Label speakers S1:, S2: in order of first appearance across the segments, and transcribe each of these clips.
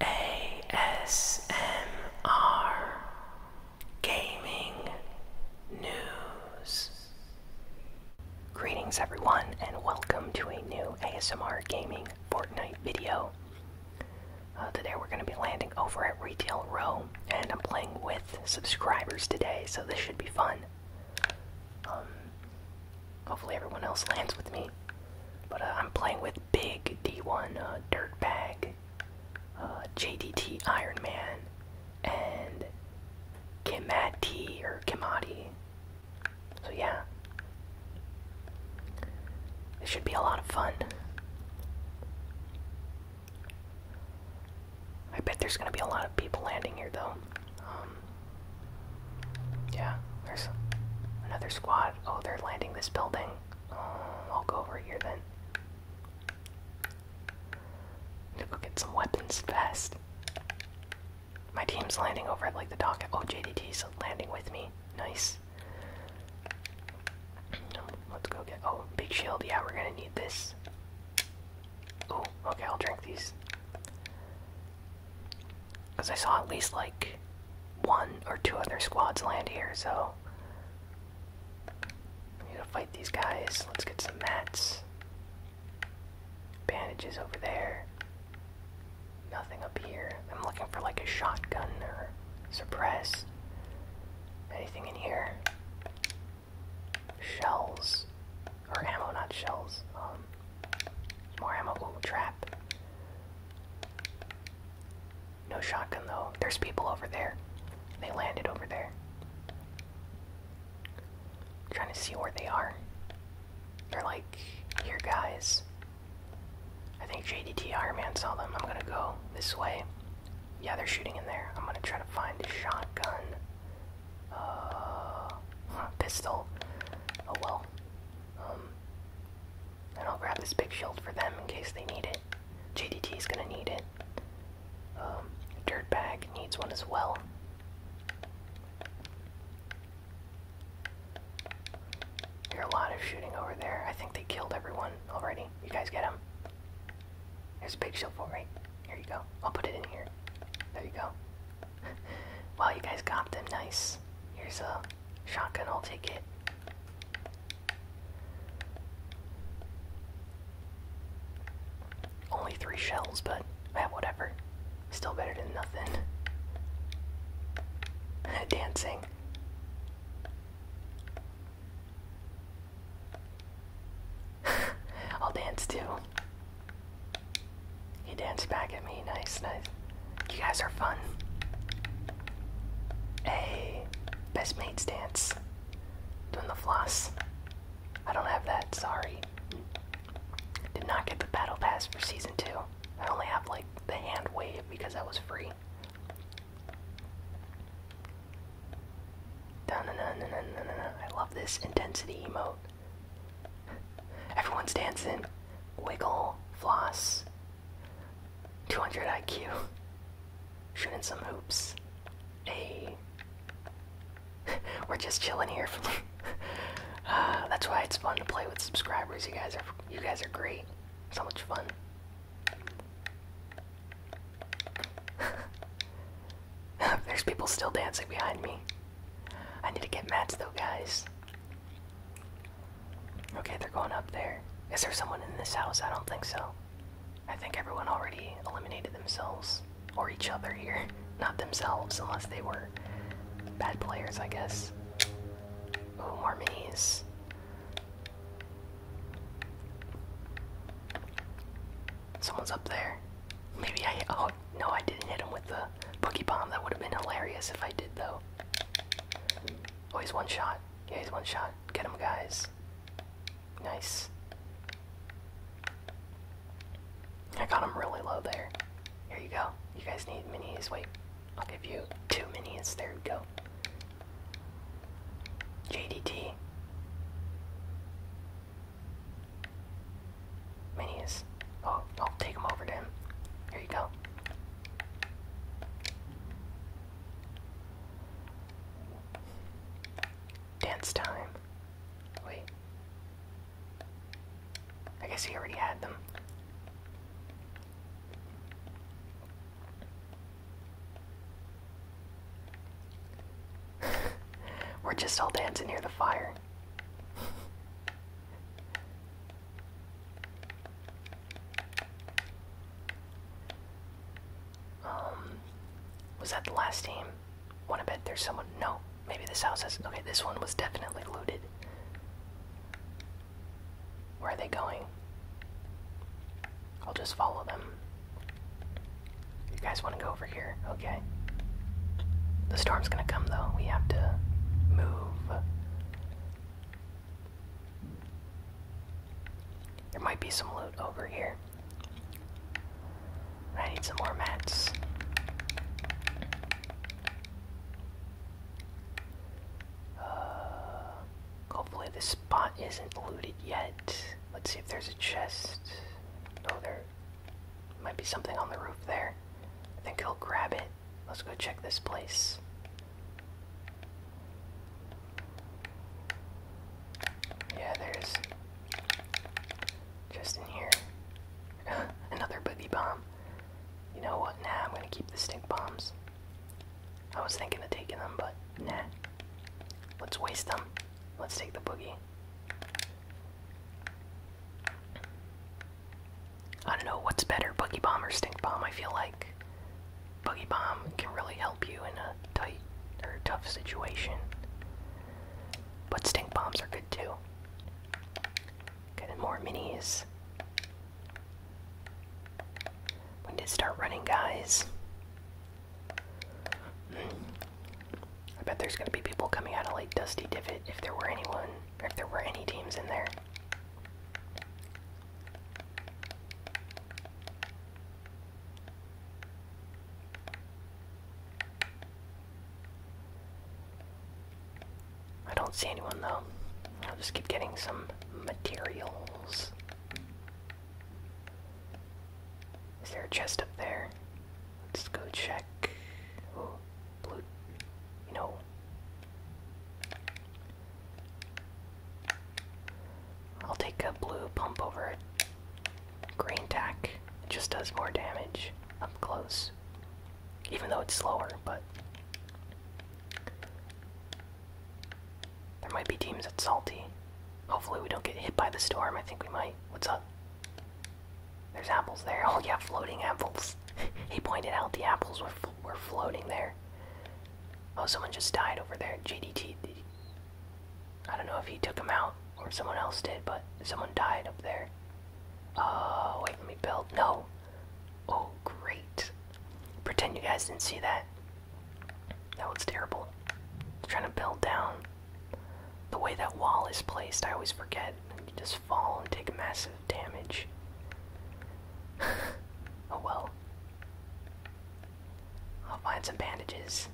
S1: ASMR Gaming News. Greetings, everyone, and welcome to a new ASMR Gaming Fortnite video. Uh, today, we're going to be landing over at Retail Row, and I'm playing with subscribers today, so this should be fun. Um, Hopefully, everyone else lands with me. But uh, I'm playing with Big D1 uh, Dirtbag, uh, JDT Iron Man, and Kimati or Kimati. So, yeah. This should be a lot of fun. I bet there's gonna be a lot of people landing here, though. Um, yeah, there's another squad. Oh, they're landing this building. Um, I'll go over here then. I'm go get some weapons fast. My team's landing over at like the dock. Oh, JDT's landing with me. Nice. Let's go get. Oh, big shield. Yeah, we're gonna need this. Oh, okay. I'll drink these. Because I saw at least like one or two other squads land here, so. We need to fight these guys. Let's get some mats. Bandages over there. Nothing up here. I'm looking for like a shotgun or suppress. Anything in here? Shells. Or ammo, not shells. Um, more ammo. Ooh, no shotgun though. There's people over there. They landed over there. trying to see where they are. They're like, here guys. I think JDT Iron Man saw them. I'm gonna go this way. Yeah, they're shooting in there. I'm gonna try to find a shotgun. Uh, pistol. Oh well. Um, and I'll grab this big shield for them in case they need it. JDT's gonna need it. Um, Dirtbag needs one as well. There a lot of shooting over there. I think they killed everyone already. You guys get him? There's a big shield for right? Here you go. I'll put it in here. There you go. wow, you guys got them. Nice. Here's a Shotgun, I'll take it. Only three shells, but eh, whatever. Still better than nothing. Dancing. I'll dance too. He danced back at me. Nice, nice. You guys are fun. Hey, best mates dance. Doing the floss. I don't have that, sorry. Did not get the battle pass for season 2. I only have like the hand wave because that was free. I love this intensity emote. Everyone's dancing. Wiggle, floss. 200 IQ, shooting some hoops. Hey, we're just chilling here. Uh, that's why it's fun to play with subscribers. You guys are you guys are great. So much fun. There's people still dancing behind me. I need to get mats though, guys. Okay, they're going up there. Is there someone in this house? I don't think so. I think everyone already eliminated themselves or each other here. Not themselves, unless they were bad players, I guess. Ooh, more minis. Someone's up there. Maybe I. Oh, no, I didn't hit him with the boogie bomb. That would have been hilarious if I did, though. Oh, he's one shot. Yeah, he's one shot. Get him, guys. Nice. I got him really low there. Here you go. You guys need minis. Wait, I'll give you two minis. There you go. JDT. Minis. Oh, I'll take him over to him. Here you go. Dance time. Wait. I guess he already had them. We're just all dancing near the fire. Um, was that the last team? Wanna bet there's someone? No, maybe this house has. Okay, this one was definitely looted. Where are they going? I'll just follow them. You guys wanna go over here? Okay. The storm's gonna come though. We have to move. There might be some loot over here. I need some more mats. Uh, hopefully this spot isn't looted yet. Let's see if there's a chest. Oh, there might be something on the roof there. I think he'll grab it let's go check this place. Yeah, there's just in here another boogie bomb. You know what? Nah, I'm gonna keep the stink bombs. I was thinking of taking them, but nah. Let's waste them. Let's take the boogie. I don't know what's better, boogie Bomb or Stink Bomb. I feel like boogie Bomb can really help you in a tight or tough situation. But Stink Bombs are good too. Getting more minis. We need to start running, guys. I bet there's gonna be people coming out of like Dusty Divot if there were anyone, if there were any teams in there. I don't see anyone though. I'll just keep getting some materials. Is there a chest up there? Let's go check. Oh, blue. You I'll take a blue pump over a green tack. It just does more damage up close. Even though it's slower, but there might be teams at salty. Hopefully we don't get hit by the storm. I think we might. What's up? There's apples there. Oh yeah, floating apples. he pointed out the apples were we're floating there. Oh, someone just died over there. JDT. I don't know if he took him out or someone else did, but someone died up there. Oh, wait for me, build. No. Oh, great. Pretend you guys didn't see that. That was terrible. i trying to build down. The way that wall is placed, I always forget. You just fall and take massive damage. Oh well. I'll find some bandages.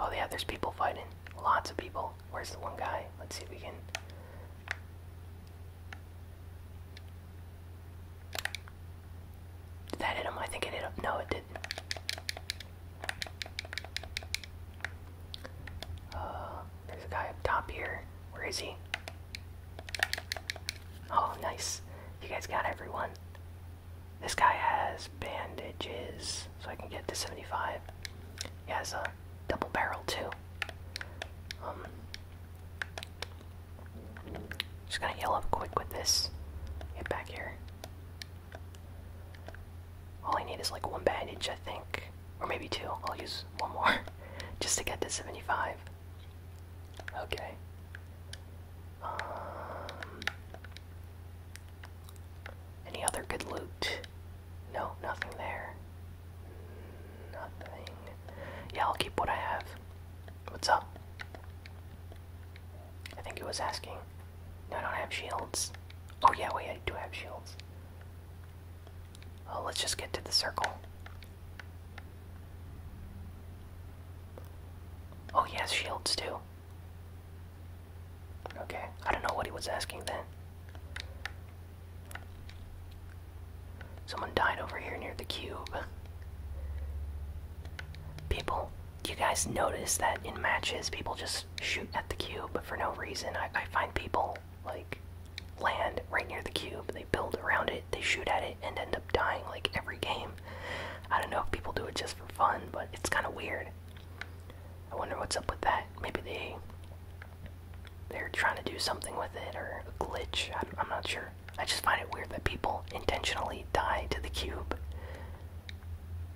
S1: Oh yeah, there's people fighting. Lots of people. Where's the one guy? Let's see if we can. Did that hit him? I think it hit him. No, it didn't. Uh, there's a guy up top here. Where is he? Oh, nice. You guys got everyone. This guy has bandages, so I can get to 75. He has a double barrel, too. Um, just gonna yell up quick with this. Get back here. All I need is like one bandage, I think. Or maybe two. I'll use one more. Just to get to 75. Okay. Um, any other good loot? No, nothing there. Nothing. Yeah, I'll keep what I have. What's up? I think he was asking. No, I don't have shields. Oh yeah, wait, I do have shields. Oh, let's just get to the circle. Oh, he shields too. Okay, I don't know what he was asking then. Someone died over here near the cube. People, do you guys notice that in matches people just shoot at the cube for no reason? I find people like land right near the cube. They build around it, they shoot at it, and end up dying like every game. I don't know if people do it just for fun, but it's kind of weird. I wonder what's up with that. Maybe they they're trying to do something with it or a glitch. I'm, I'm not sure. I just find it weird that people intentionally die to the cube.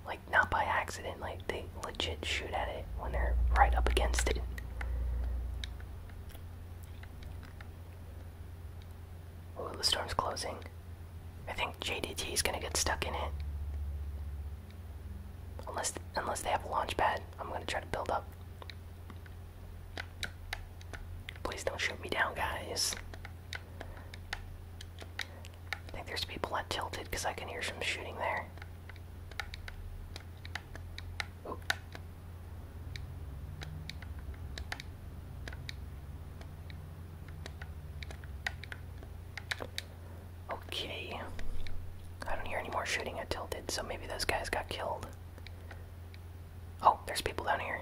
S1: Like not by accident. Like they legit shoot at it when they're right up against it. Ooh, the storm's closing. I think JDT is gonna get stuck in it. Unless unless they have a launch pad, I'm gonna try to build up. Please don't shoot me down, guys. I think there's people that tilted because I can hear some shooting there. Okay. I don't hear any more shooting at Tilted, so maybe those guys got killed. Oh, there's people down here.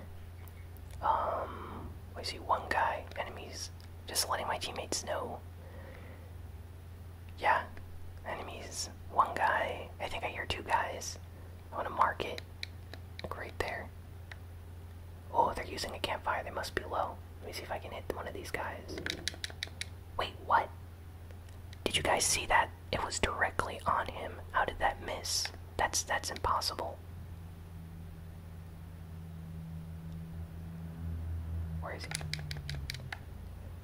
S1: Um, I see one guy. Enemies. Just letting my teammates know. Yeah, enemies. One guy. I think I hear two guys. I want to mark it. right there. Oh, they're using a campfire. They must be low. Let me see if I can hit one of these guys. Wait, what? Did you guys see that? It was directly on him. How did that miss? That's that's impossible. Where is he?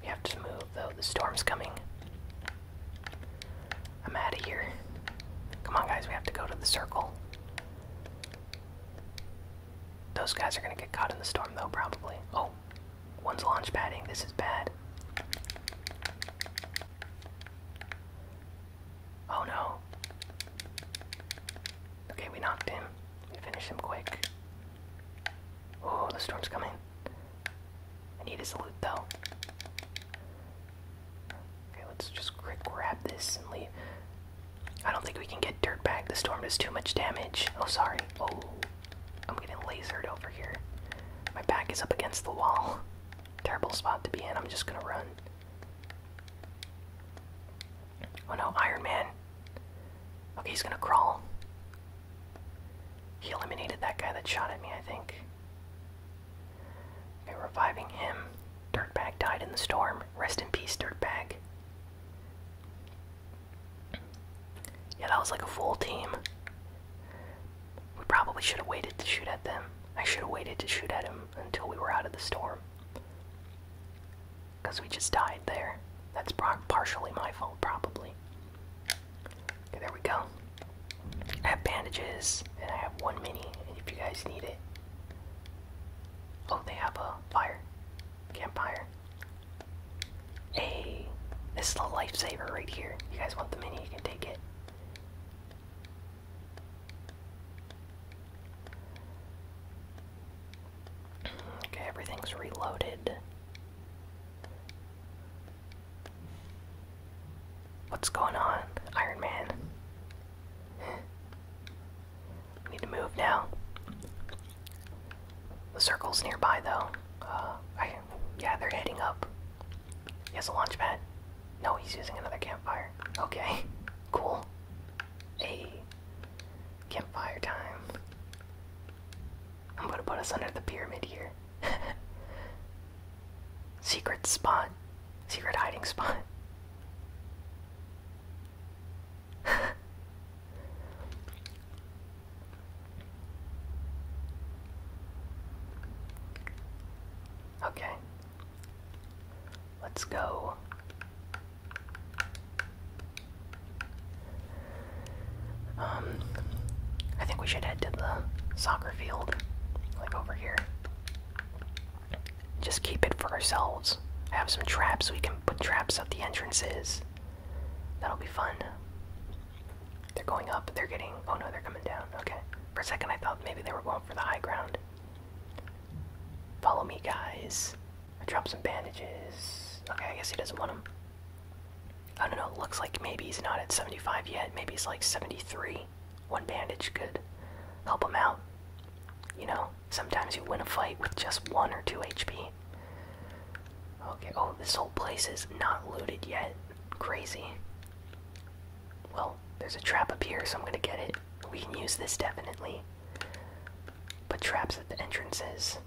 S1: We have to move though, the storm's coming. I'm out of here. Come on, guys, we have to go to the circle. Those guys are gonna get caught in the storm though, probably. Oh, one's launch padding. This is bad. Oh no. Okay, we knocked him. We finish him quick. Oh, the storm's coming. I need his loot though. Okay, let's just grab this and leave. I don't think we can get dirt back. The storm does too much damage. Oh, sorry. Oh, I'm getting lasered over here. My back is up against the wall. Terrible spot to be in. I'm just gonna run. Oh no, Iron Man. Okay, he's gonna crawl. He eliminated that guy that shot at me, I think reviving him. Dirtbag died in the storm. Rest in peace, Dirtbag. Yeah, that was like a full team. We probably should have waited to shoot at them. I should have waited to shoot at him until we were out of the storm. Because we just died there. That's partially my fault, probably there we go. I have bandages and I have one mini if you guys need it. Oh, they have a fire. Campfire. A this is a lifesaver right here. You guys want the mini, you can take it. Okay, everything's reloaded. What's going on, Iron Man? need to move now. The circle's nearby, though. Uh, yeah, they're heading up. He has a launch pad. No, he's using another campfire. Okay, cool. A campfire time. I'm gonna put us under the pyramid here. Secret spot. Secret hiding spot. okay. Let's go. Um, I think we should head to the soccer field, like over here. Just keep it for ourselves. I have some traps, we can put traps at the entrances. That'll be fun. They're going up, they're getting. Oh no, they're coming down. Okay. For a second, I thought maybe they were going for the high ground. Follow me, guys. I dropped some bandages. Okay, I guess he doesn't want them. I don't know, it looks like maybe he's not at 75 yet, maybe he's like 73. One bandage could help him out. You know, sometimes you win a fight with just one or two HP. Okay, oh, this whole place is not looted yet. Crazy. Well, there's a trap up here, so I'm gonna get it. We can use this definitely. But traps at the entrances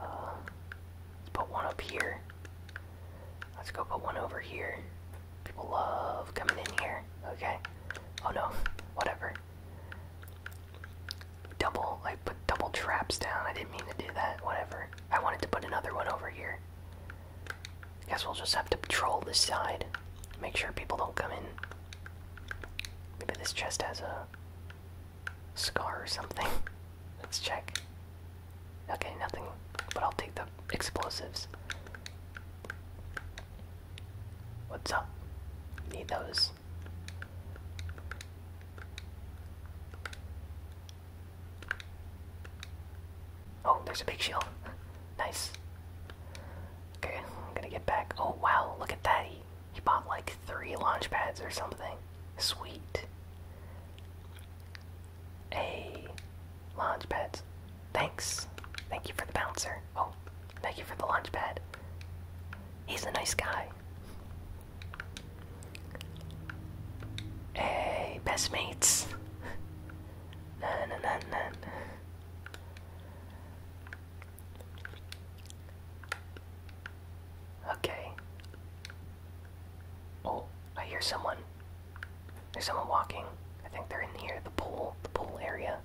S1: let's put one up here. Let's go put one over here. People love coming in here. Okay. Oh no. Whatever. Double. I put double traps down. I didn't mean to do that. Whatever. I wanted to put another one over here. Guess we'll just have to patrol this side. Make sure people don't come in. Maybe this chest has a scar or something. Let's check. Okay, nothing, but I'll take the explosives. What's up? Need those. Oh, there's a big shield. nice. Okay, I'm gonna get back. Oh wow, look at that. He, he bought like three launch pads or something. Sweet. Hey, launch pads. Thanks. Thank you for the bouncer. Oh, thank you for the launch pad. He's a nice guy. Hey, best mates. na na na na. Okay. Oh, I hear someone. There's someone walking. I think they're in here, the pool, the pool area.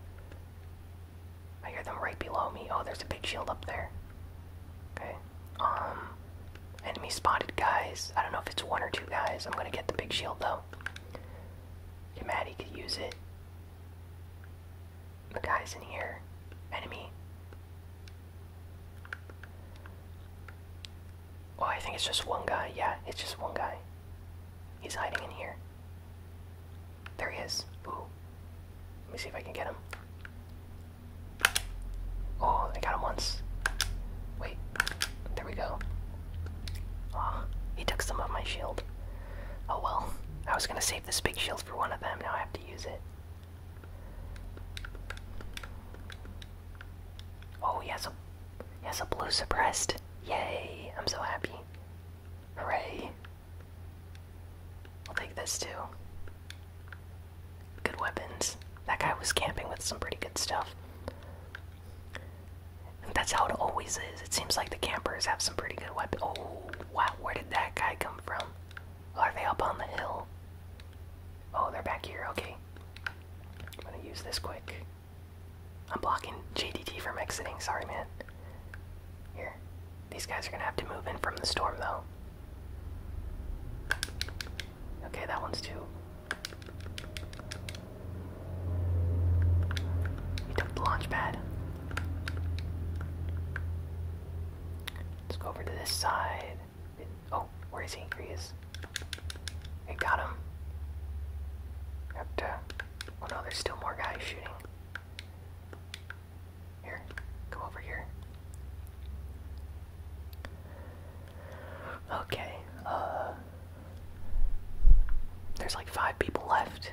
S1: I hear them right below me. Oh, there's a big shield up there. Okay. Um, enemy spotted guys. I don't know if it's one or two guys. I'm gonna get the big shield though. Okay, Maddie could use it. The guys in here. Enemy. Oh, I think it's just one guy. Yeah, it's just one guy. He's hiding in here. There he is. Ooh. Let me see if I can get him. Oh, I got him once. Wait. There we go. oh, he took some of my shield. Oh well. I was gonna save this big shield for one of them, now I have to use it. Oh, he has a he blue suppressed. Yay! I'm so happy. Hooray! We'll take this too. Good weapons. That guy was camping with some pretty good stuff. that's how it always is. It seems like the campers have some pretty good weapons. Oh, wow, where did that guy come from? Are they up on the hill? Oh, they're back here. Okay. I'm gonna use this quick. I'm blocking JDT from exiting. Sorry, man. Here. These guys are gonna have to move in from the storm, though. Okay, that one's too. We took the launch Let's go over to this side oh, where is he? Here he got him. Up uh, to. Oh no, there's still more guys shooting. Here, come over here. Okay, uh. There's like five people left.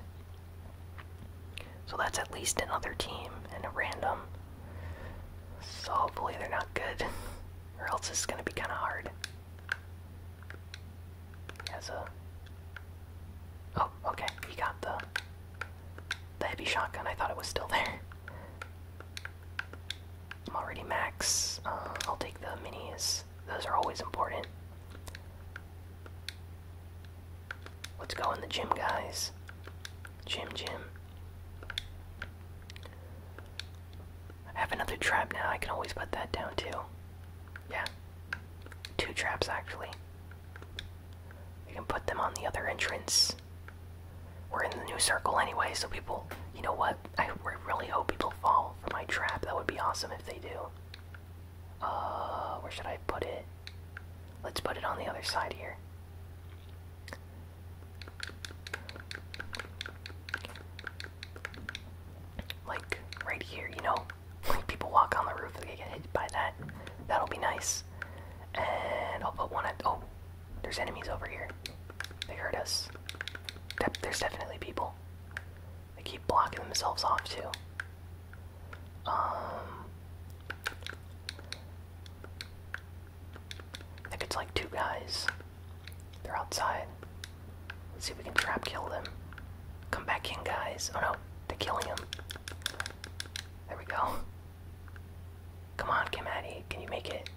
S1: So that's at least another team and a random. So hopefully they're not good, or else it's gonna be kinda hard. As Oh, okay, he got the the heavy shotgun. I thought it was still there. I'm already max. Uh, I'll take the minis. Those are always important. Let's go in the gym, guys. Jim Jim. I have another trap now, I can always put that down too. Yeah. Two traps actually. We can put them on the other entrance. We're in the new circle anyway, so people, you know what? I really hope people fall for my trap. That would be awesome if they do. Uh, where should I put it? Let's put it on the other side here. Like right here, you know? people walk on the roof they get hit by that. That'll be nice. And I'll put one at oh, there's enemies over here. They hurt us. there's definitely people. They keep blocking themselves off too. Um I think it's like two guys. They're outside. Let's see if we can trap kill them. Come back in, guys. Oh no, they're killing him. There we go. Come on, Kimati, can you make it?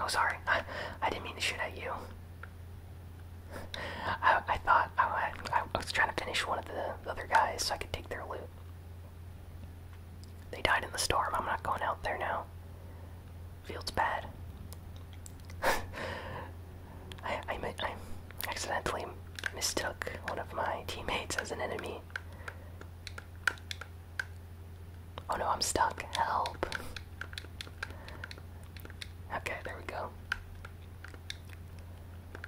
S1: Oh, sorry. I, I didn't mean to shoot at you. I, I thought I, I was trying to finish one of the other guys so I could take their loot. They died in the storm. I'm not going out there now. Field's bad. I, I, accidentally mistook one of my teammates as an enemy. Oh no, I'm stuck. Help. Okay, there we go.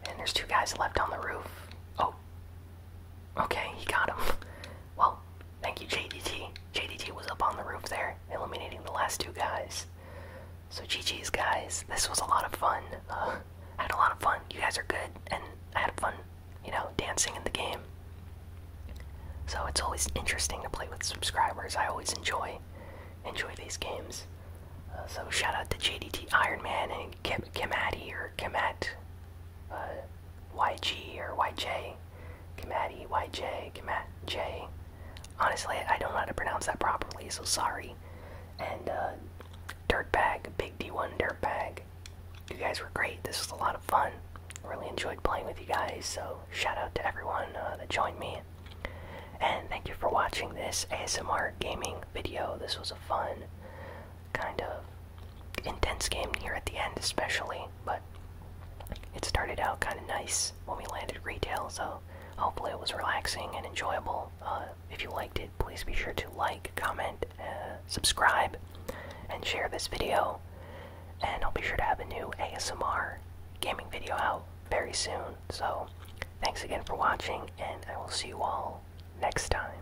S1: And there's two guys left on the roof. Oh. Okay, he got him. Well, thank you, JDT. JDT was up on the roof there, eliminating the last two guys. So, GG's, guys. This was a lot of fun. Uh, had a lot of fun. You guys are good, and I had fun, you know, dancing in the game. So, it's always interesting to play with subscribers. I always enjoy enjoy these games. Uh, so, shout out to JDT Iron Man and Kim Kimati or Kimat uh, YG or YJ. Kamat EYJ, Kamat J. Honestly, I don't know how to pronounce that properly, so sorry. And uh, Dirtbag, Big D1 Dirtbag. You guys were great. This was a lot of fun. really enjoyed playing with you guys, so shout out to everyone uh, that joined me. And thank you for watching this ASMR gaming video. This was a fun kind of intense game near at the end, especially. But it started out kind of nice when we landed retail, so hopefully it was relaxing and enjoyable. Uh, if you liked it, please be sure to like, comment, uh, subscribe, and share this video. And I'll be sure to have a new ASMR gaming video out very soon. So thanks again for watching, and I will see you all next time.